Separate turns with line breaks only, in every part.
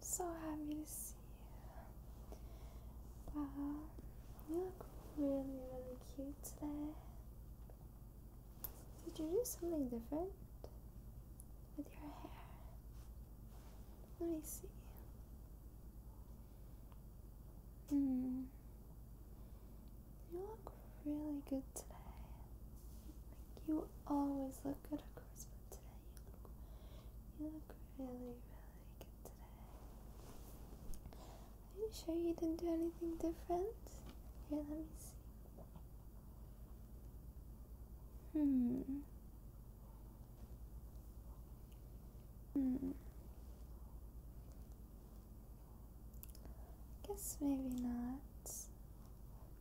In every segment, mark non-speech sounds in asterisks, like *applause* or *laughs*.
So happy to see you. Wow, you look really, really cute today. Did you do something different with your hair? Let me see. Hmm. You look really good today. you always look good, of course, but today you look, you look really, really good today. Are you sure you didn't do anything different? Here, let me see. Hmm. Hmm. Guess maybe not.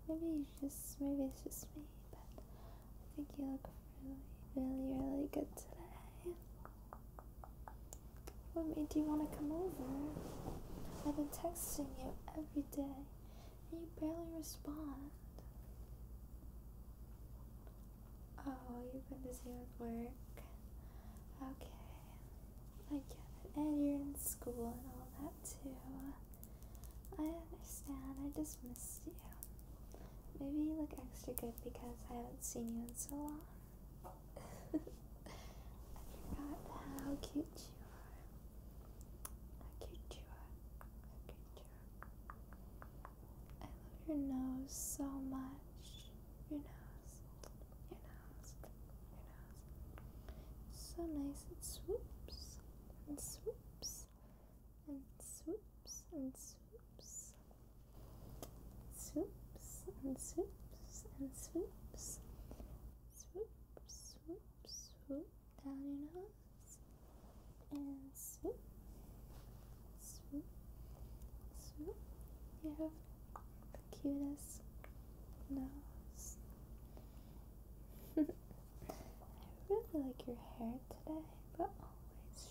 Maybe just maybe it's just me, but I think you look really, really, really good today. What made you want to come over? I've been texting you every day, and you barely respond. Oh, you've been busy with work. Okay. I get it. And you're in school and all that too. I understand. I just missed you. Maybe you look extra good because I haven't seen you in so long. *laughs* I forgot how cute you are. How cute you are. How cute you are. I love your nose so much. Your nose your nose, your nose. So nice it swoops and swoops and swoops and swoops. Swoops and swoops and swoops. Swoop, swoop, swoop down your nose. And swoop, swoop, swoop. You the cutest nose. *laughs* I really like your hair today, but always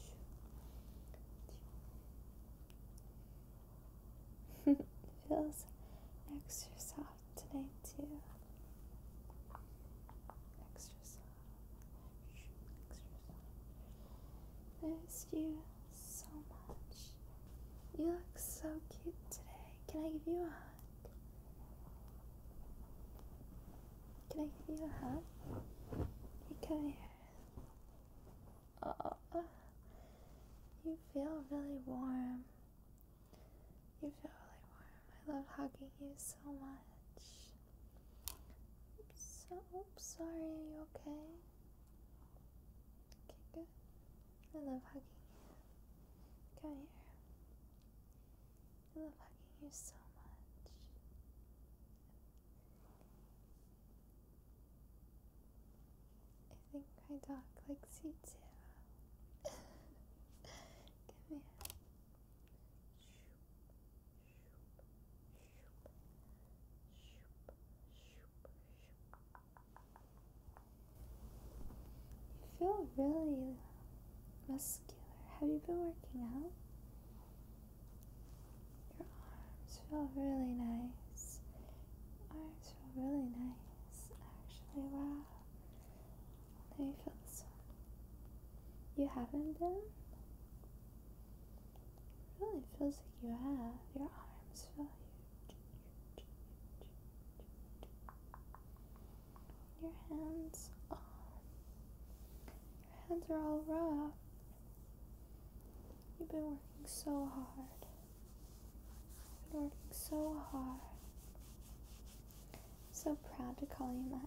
*laughs* feels extra soft today too. Extra soft, extra you so much. You look so cute today. Can I give you a hug? Can I give you a hug? Okay. Oh, you feel really warm. You feel really warm. I love hugging you so much. I'm so I'm sorry. Are you okay? Okay, good. I love hugging you. Come here. I love hugging you so much. I think my dog likes you too. *laughs* Come here. Shoop, you feel really muscular. Have you been working out? Your arms feel really nice. arms feel really nice, actually. Wow. Let me feel this one. You haven't been? It really feels like you have your arms feel huge. Your hands, oh, your hands are all rough. You've been working so hard. You've been working so hard. so proud to call you mine.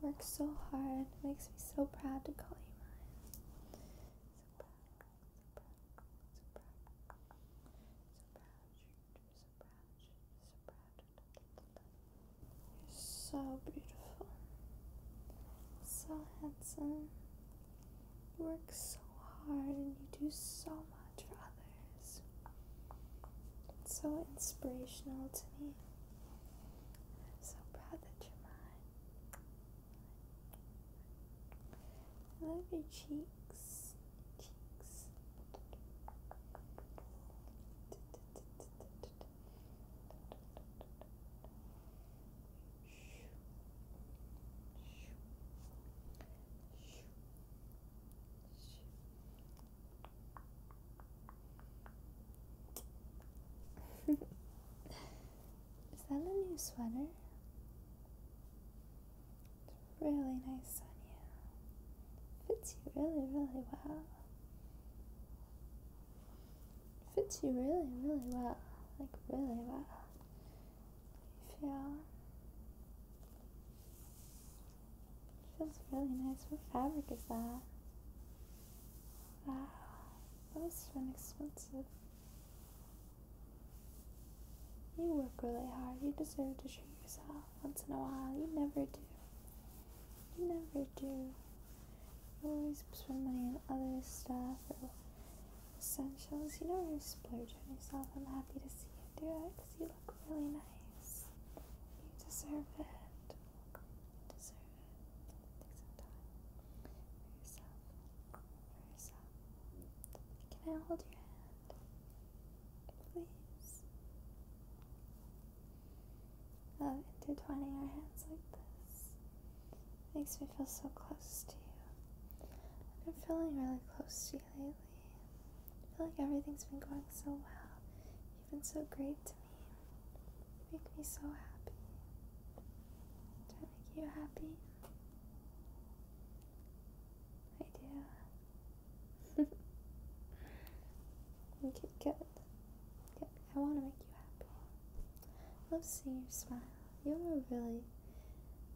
Work so hard. Makes me so proud to call you mine. So You're so beautiful, so handsome. You work so hard and you do so much for others. It's so inspirational to me. So proud that you're mine. love your cheeks. Cheeks. *laughs* Is that a new sweater? It's really nice on you. Fits you really, really well. Fits you really, really well. Like, really well. You feel. Feels really nice. What fabric is that? Wow, that was expensive. You work really hard. You deserve to treat yourself once in a while. You never do. You never do. always spend money on other stuff or essentials. You know you really splurge on yourself. I'm happy to see you do it because you look really nice. You deserve it. Deserve Can I hold your hand? Please. Love intertwining our hands like this. Makes me feel so close to you. I've been feeling really close to you lately. I feel like everything's been going so well. You've been so great to me. You make me so happy. Do I make you happy? I do. okay, good. Good. I want to make you happy. I love seeing your smile. You're really,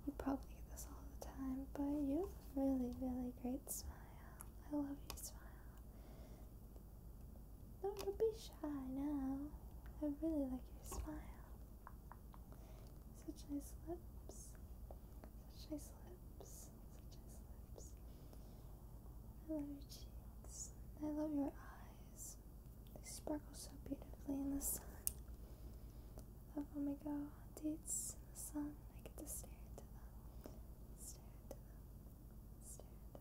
you probably get this all the time, but you have a really, really great smile. I love your smile. don't be shy now. I really like your smile. Such nice lips. Such nice lips. Such nice lips. I love your cheeks. I love your eyes. They sparkle so beautifully in the sun. I love when we go on dates in the sun. I get to stare into them. Stare into them. So cute.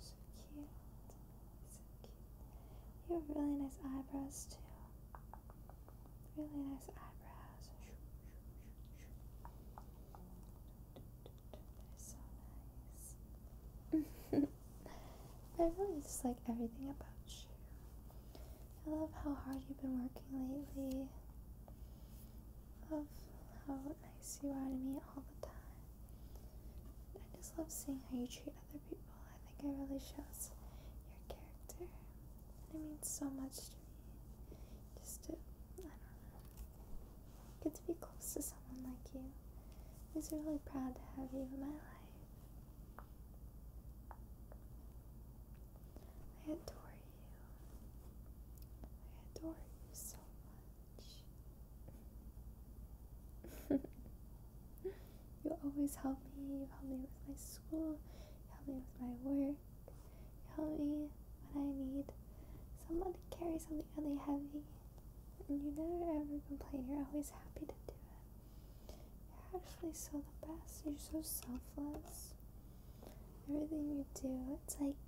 So cute. You have really nice eyebrows too. Really nice eyebrows. they so nice. I really just like everything about you. I love how hard you've been working lately love how nice you are to me all the time. I just love seeing how you treat other people. I think it really shows your character. it means so much to me. Just to, I don't know, get to be close to someone like you. I'm really proud to have you in my life. I adore I adore you so much. *laughs* you always help me. You help me with my school. You help me with my work. You help me when I need someone to carry something really heavy. And you never ever complain. You're always happy to do it. You're actually so the best. You're so selfless everything you do, it's like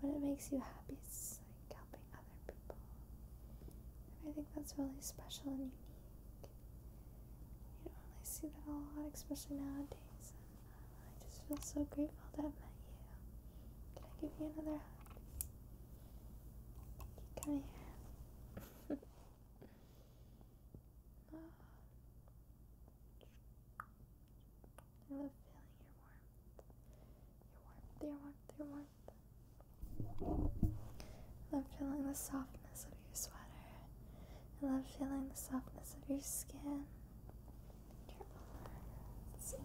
what it makes you happy, it's like helping other people. And I think that's really special and unique. You don't really see that a lot, especially nowadays. And uh, I just feel so grateful to have met you. Can I give you another hug? You *laughs* I love feeling your warmth. Your warmth, your warmth, your warmth. I love feeling the softness of your sweater. I love feeling the softness of your skin.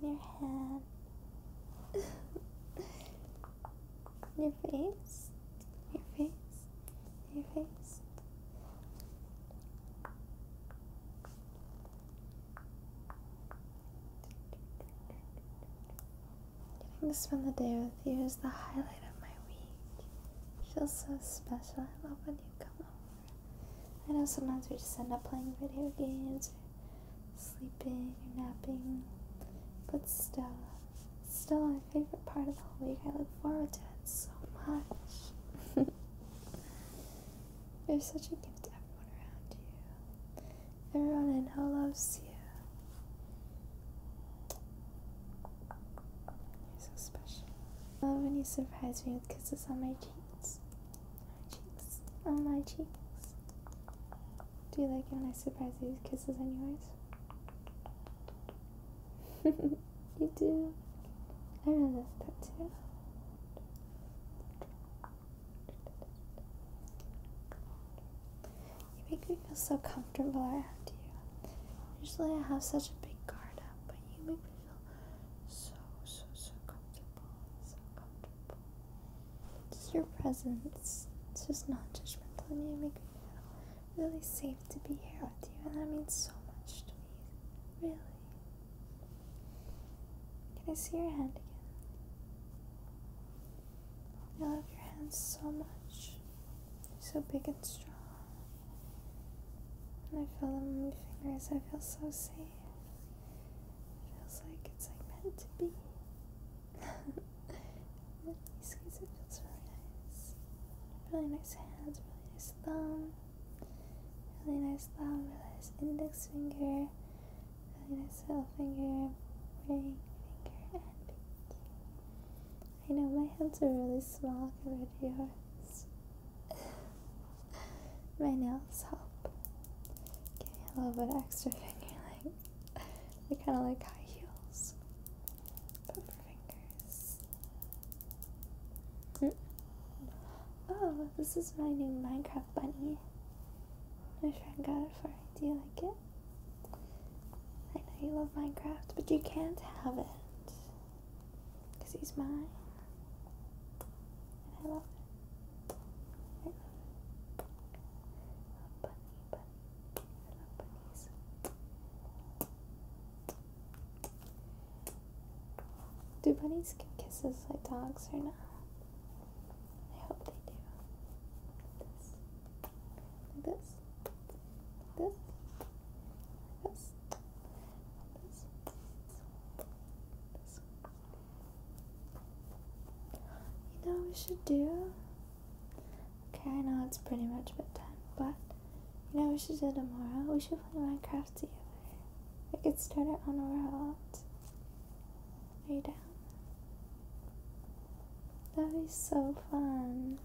Your arms, in your hand, *laughs* your face, your face, your face. Getting to spend the day with you is the highlight of my week. feels so special. I love when you come over. I know sometimes we just end up playing video games or sleeping or napping, but still, still, favorite part of the whole week. I look forward to it so much. *laughs* You're such a gift to everyone around you. Everyone in know loves you. You're so special. I love when you surprise me with kisses on my cheeks. On my cheeks. On my cheeks. Do you like it when I surprise you with kisses on yours? *laughs* you do. I really realize that too. You make me feel so comfortable around you. Usually I have such a big guard up, but you make me feel so, so, so comfortable. So comfortable. Just your presence. It's just non judgmental and you make me feel really safe to be here with you, and that means so much to me. Really. Can I see your hand again? I love your hands so much. they so big and strong. And I feel them on my fingers. I feel so safe. It feels like it's like meant to be. These guys, it feels really nice. Really nice hands, really nice thumb, really nice thumb, really nice index finger, really nice little finger, ring finger, and pinky. I know my hands are really small compared to yours. *laughs* my nails help. Give me a little bit extra finger length like *laughs* they're kind of like high heels, but fingers. Mm. Oh, this is my new Minecraft bunny. My friend got it for me. Do you like it? I know you love Minecraft, but you can't have it because he's mine, and I love it. I love bunny, bunny. I love bunny. Do bunnies get kisses like dogs or not? I hope they do. this. this. this. this. You know we should do? Okay, I know it's pretty much bedtime, but you know we should do tomorrow? We should play Minecraft together. We could start it on our out. Are you down? That'd be so fun.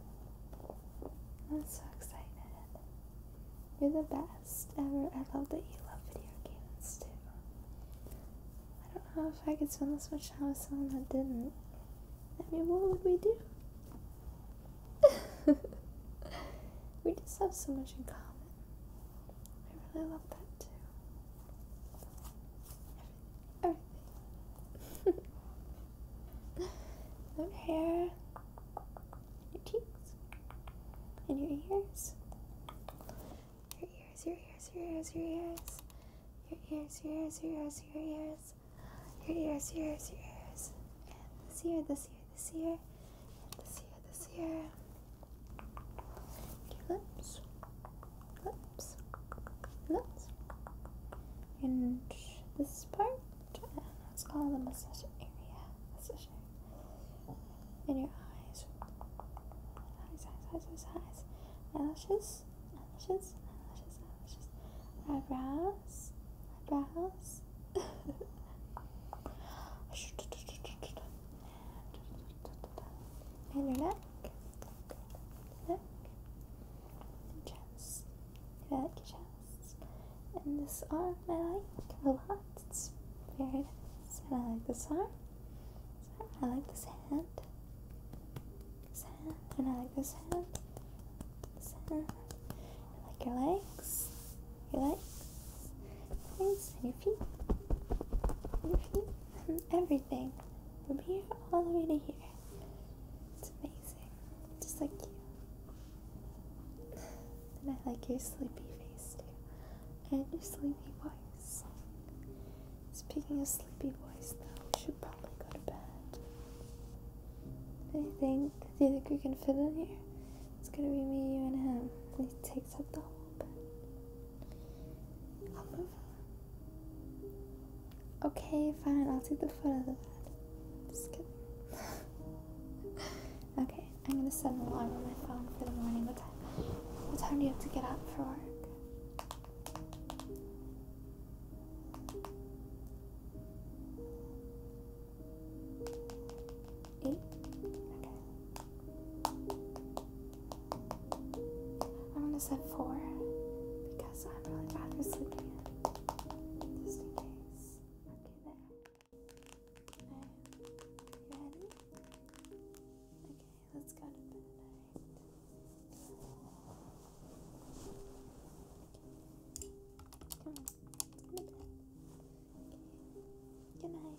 I'm so excited. You're the best ever. I love that you love video games too. I don't know if I could spend this much time with someone that didn't. I mean, what would we do? *laughs* we just have so much in common. I really love that too. Everything. *laughs* your hair, your cheeks, and your ears your ears, your ears, your ears, your ears, your ears, your ears, your ears, your ears, your ears, your ears, your ears, and this year, this year, this year, and this year, this year, your lips, lips, lips, and this part, let's call the massage area, massage area, and your eyes, eyes, eyes, eyes, eyes, eyes eyelashes, eyelashes, eyelashes, eyelashes, eyebrows, eyebrows. *laughs* and your neck, neck, and chest. I like your chest. And this arm I like a lot. It's very nice. And I like this arm. I like this hand. hand, and I like this hand. This hand. I like your legs. Your legs. Legs and your feet. your feet. everything. From here all the way to here. It's amazing. Just like you. And I like your sleepy face too. And your sleepy voice. Speaking a sleepy voice though, we should probably go to bed. Anything? Do you think we can fit in here? It's gonna be me, you, and him. He takes up the whole bed. I'll move Okay, fine. I'll take the foot of the bed. Just kidding. *laughs* okay, I'm gonna set an alarm on my phone for the morning. What time do you have to get up for work? Eight? Okay. I'm gonna set four because I'm really bad for sleeping Just in case. Okay, there. ready? Okay let's go to bed. Come on, Good night.